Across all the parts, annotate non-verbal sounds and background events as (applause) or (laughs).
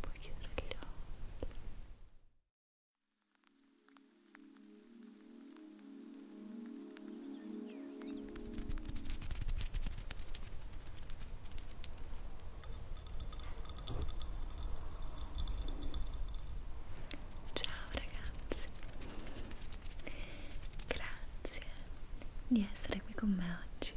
puoi chiudere gli occhi ciao ragazzi grazie di essere qui con me oggi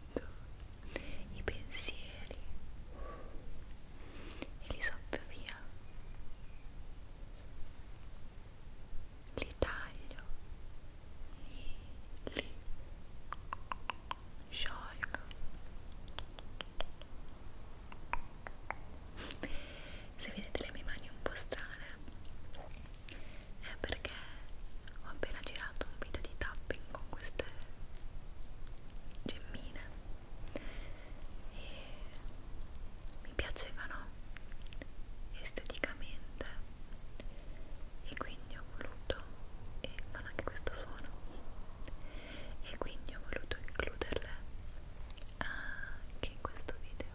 vento, i pensieri e li soffio via, li taglio, li, li sciolgo. Se vedete le mie mani un po' strane è perché ho appena girato un video di tapping con queste gemmine e mi piacevano esteticamente e quindi ho voluto e fanno anche questo suono e quindi ho voluto includerle anche in questo video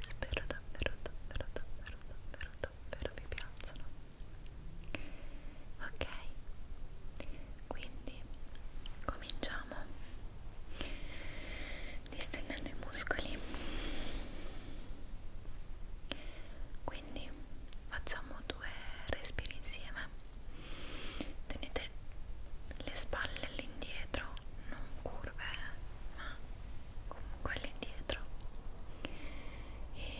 spero davvero davvero davvero davvero davvero vi piacciono ok quindi cominciamo distendendo i muscoli quindi facciamo due respiri insieme tenete le spalle all'indietro non curve ma comunque all'indietro e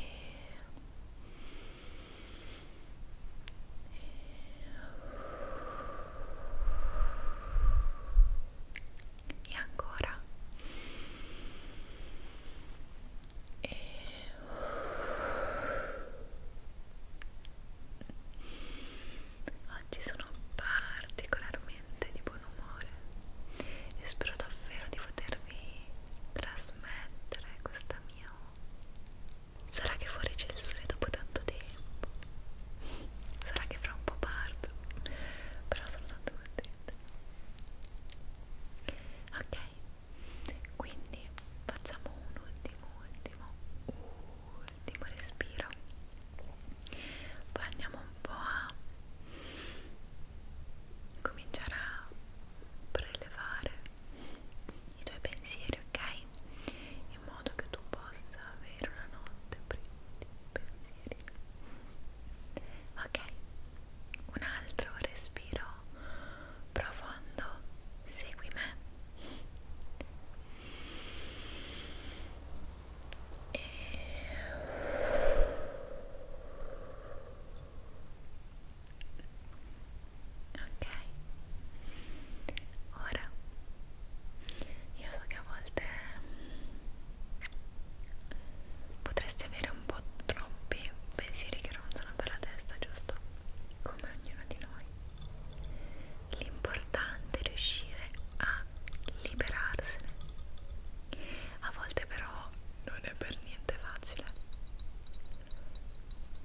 e ancora e... oggi sono particolarmente di buon umore e spero davvero di potervi trasmettere questa mia sarà che fuori c'è il sole dopo tanto tempo sarà che fra un po' parto però sono tanto contenta ok quindi facciamo un ultimo ultimo ultimo respiro poi andiamo un po' a cominciare a prelevare i tuoi pensieri, ok? In modo che tu possa avere una notte priva di pensieri. Ok, un altro respiro profondo, segui me. E ok ora io so che a volte potresti avere un po' troppi pensieri che ronzano per la testa giusto come ognuno di noi l'importante è riuscire a liberarsene a volte però non è per niente facile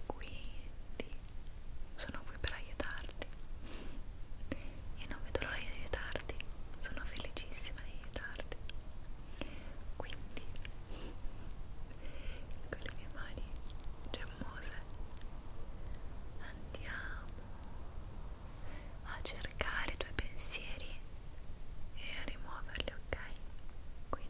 quindi sono qui per aiutarti e non vedo l'ora di aiutarti sono felicissima di aiutarti quindi con le mie mani gemmose andiamo a cercare i tuoi pensieri e a rimuoverli ok qui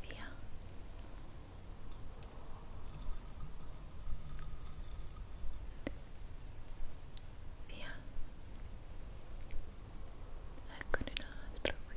Via. Via. Eccone un altro qui.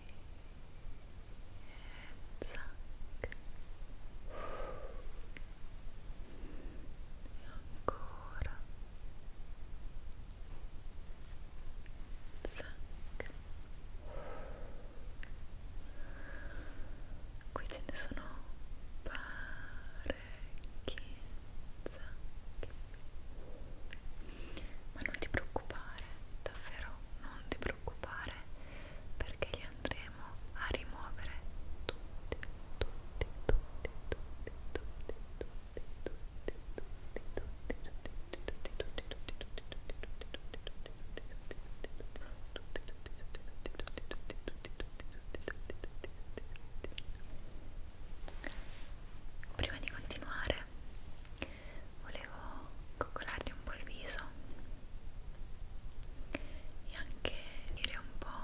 e zac e ancora zac qui ce ne sono parecchi zac ma non ti preoccupare davvero non ti preoccupare perché li andremo a rimuovere tutti, tutti, tutti, tutti, tutti, tutti, tutti, tutti, tutti, tutti, tutti, tutti, Prima di continuare volevo coccolarti un po' il viso e anche dire un po'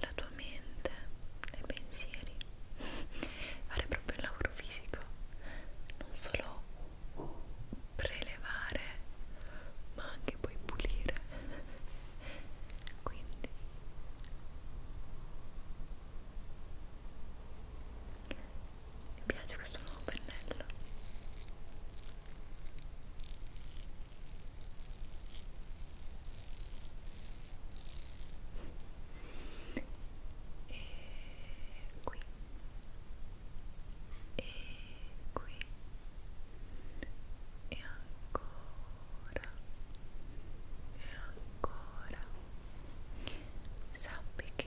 la tua mente, i pensieri, (laughs) fare proprio il lavoro fisico, non solo prelevare ma anche poi pulire (laughs) quindi mi piace questo nuovo pennello e qui e qui e ancora e ancora sappi che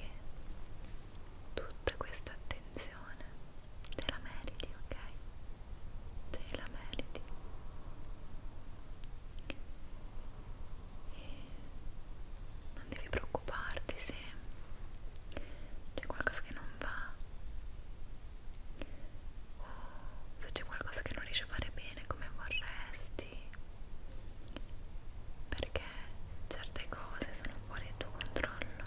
tutta questa attenzione te la meriti, ok? Te la meriti. E non devi preoccuparti se c'è qualcosa che non va o se c'è qualcosa che non riesci a fare bene come vorresti perché certe cose sono fuori dal tuo controllo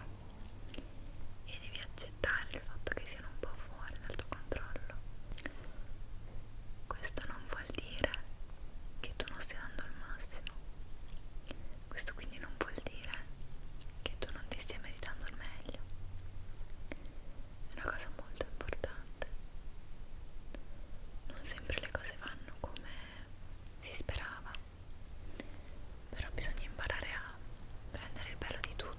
e devi accettare il fatto che siano un po' fuori dal tuo controllo questo non vuol dire che tu non stia dando il massimo questo quindi non vuol dire che tu non ti stia meritando il meglio è una cosa molto importante non sempre le cose vanno come si sperava però bisogna imparare a prendere il bello di tutto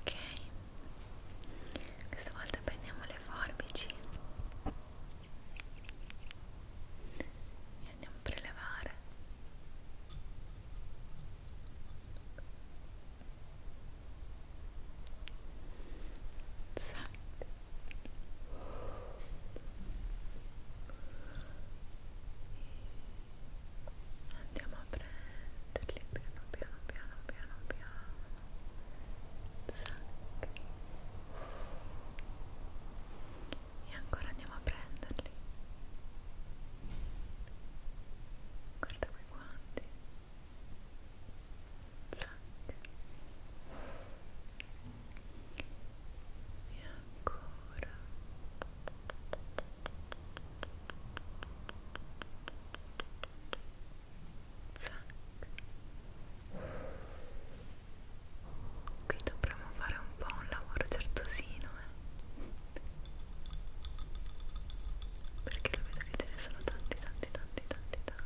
ok questa volta prendiamo le forbici e andiamo a prelevare Zac andiamo a prenderli piano piano piano piano piano Zac. e ancora andiamo a prenderli guarda qui quanti e ancora zac. qui dovremmo fare un po' un lavoro certosino eh? perché lo vedo che ce ne sono tanti tanti tanti tanti tanti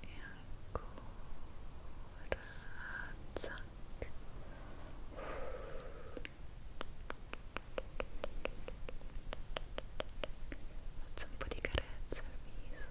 e ancora zac faccio un po' di carezza al viso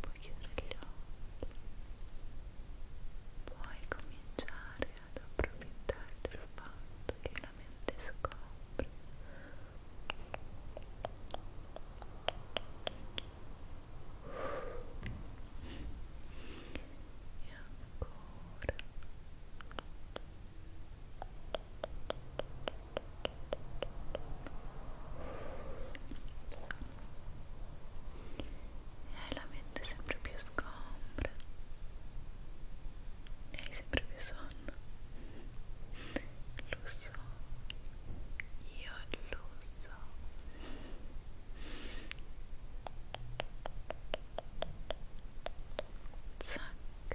puoi chiudere gli occhi puoi cominciare ad approfittare del fatto che la mente scopre e ancora e ancora hai eh, la mente sempre più sgombra e hai sempre più sonno lo so io lo so Zac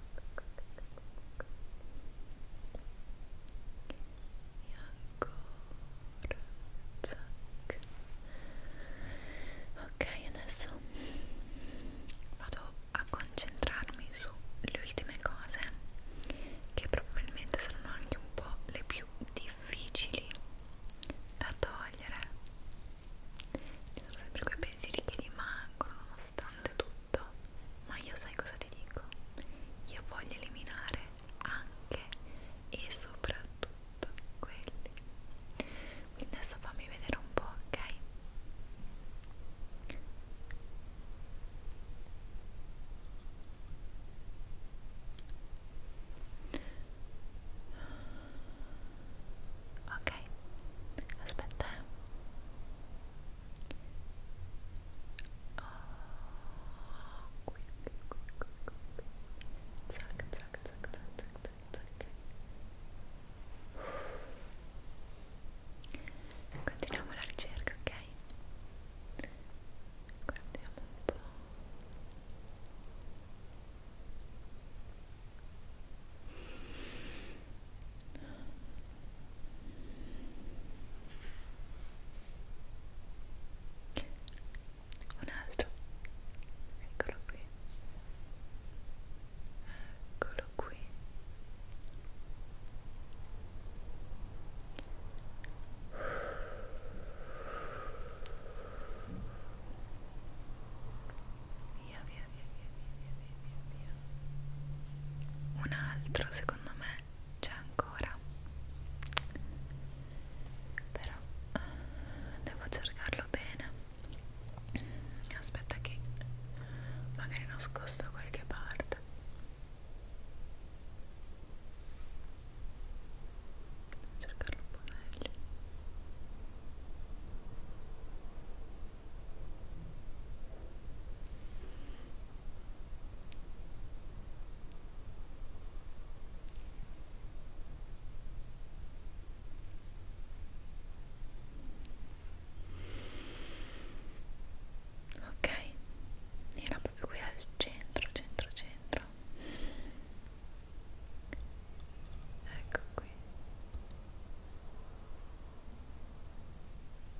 e ancora zac. ok adesso vado a concentrarmi sulle ultime cose che probabilmente saranno anche un po' le più difficili da togliere ci sono sempre quei pensieri che rimangono nonostante tutto fatto ma io sai cosa ti dico io voglio eliminare anche e soprattutto quelli quindi adesso fammi vedere un po' ok Ok, aspetta. Eh zac continuiamo la ricerca ok guardiamo un po' un altro eccolo qui eccolo qui via via via, via, via, via, via, via. Un altro, secondo me, c'è ancora. Però uh, devo cercarlo bene. Aspetta che magari nascosto da qualche parte. Devo cercarlo un po' meglio. Ok, era proprio qui al centro, centro, centro. Ecco qui.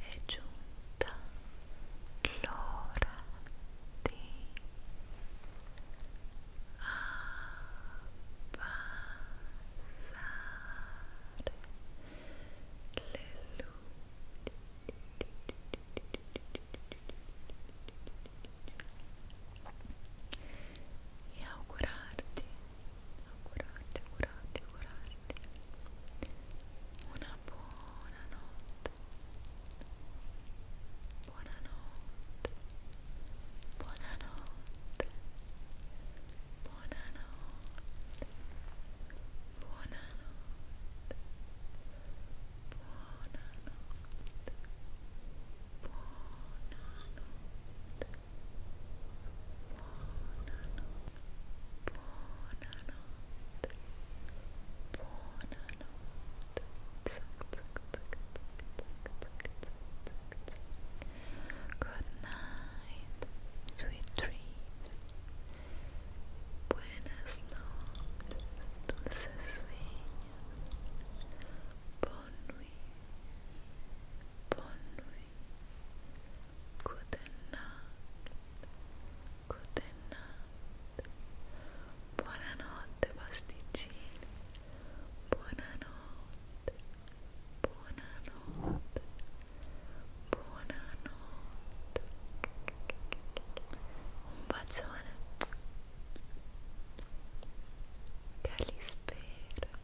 è giunta l'ora di abbassare le luci e augurarti augurarti, augurarti, augurarti una buona notte buonanotte buonanotte buonanotte buonanotte buonanotte buonanotte Good night, sweet dreams. Buenas noches, dulces sueños. Bonne nuit, bonne nuit, Good night. Good night. Buonanotte pasticcini. Buonanotte. Buonanotte. Buonanotte. Un bacione. Che li spero.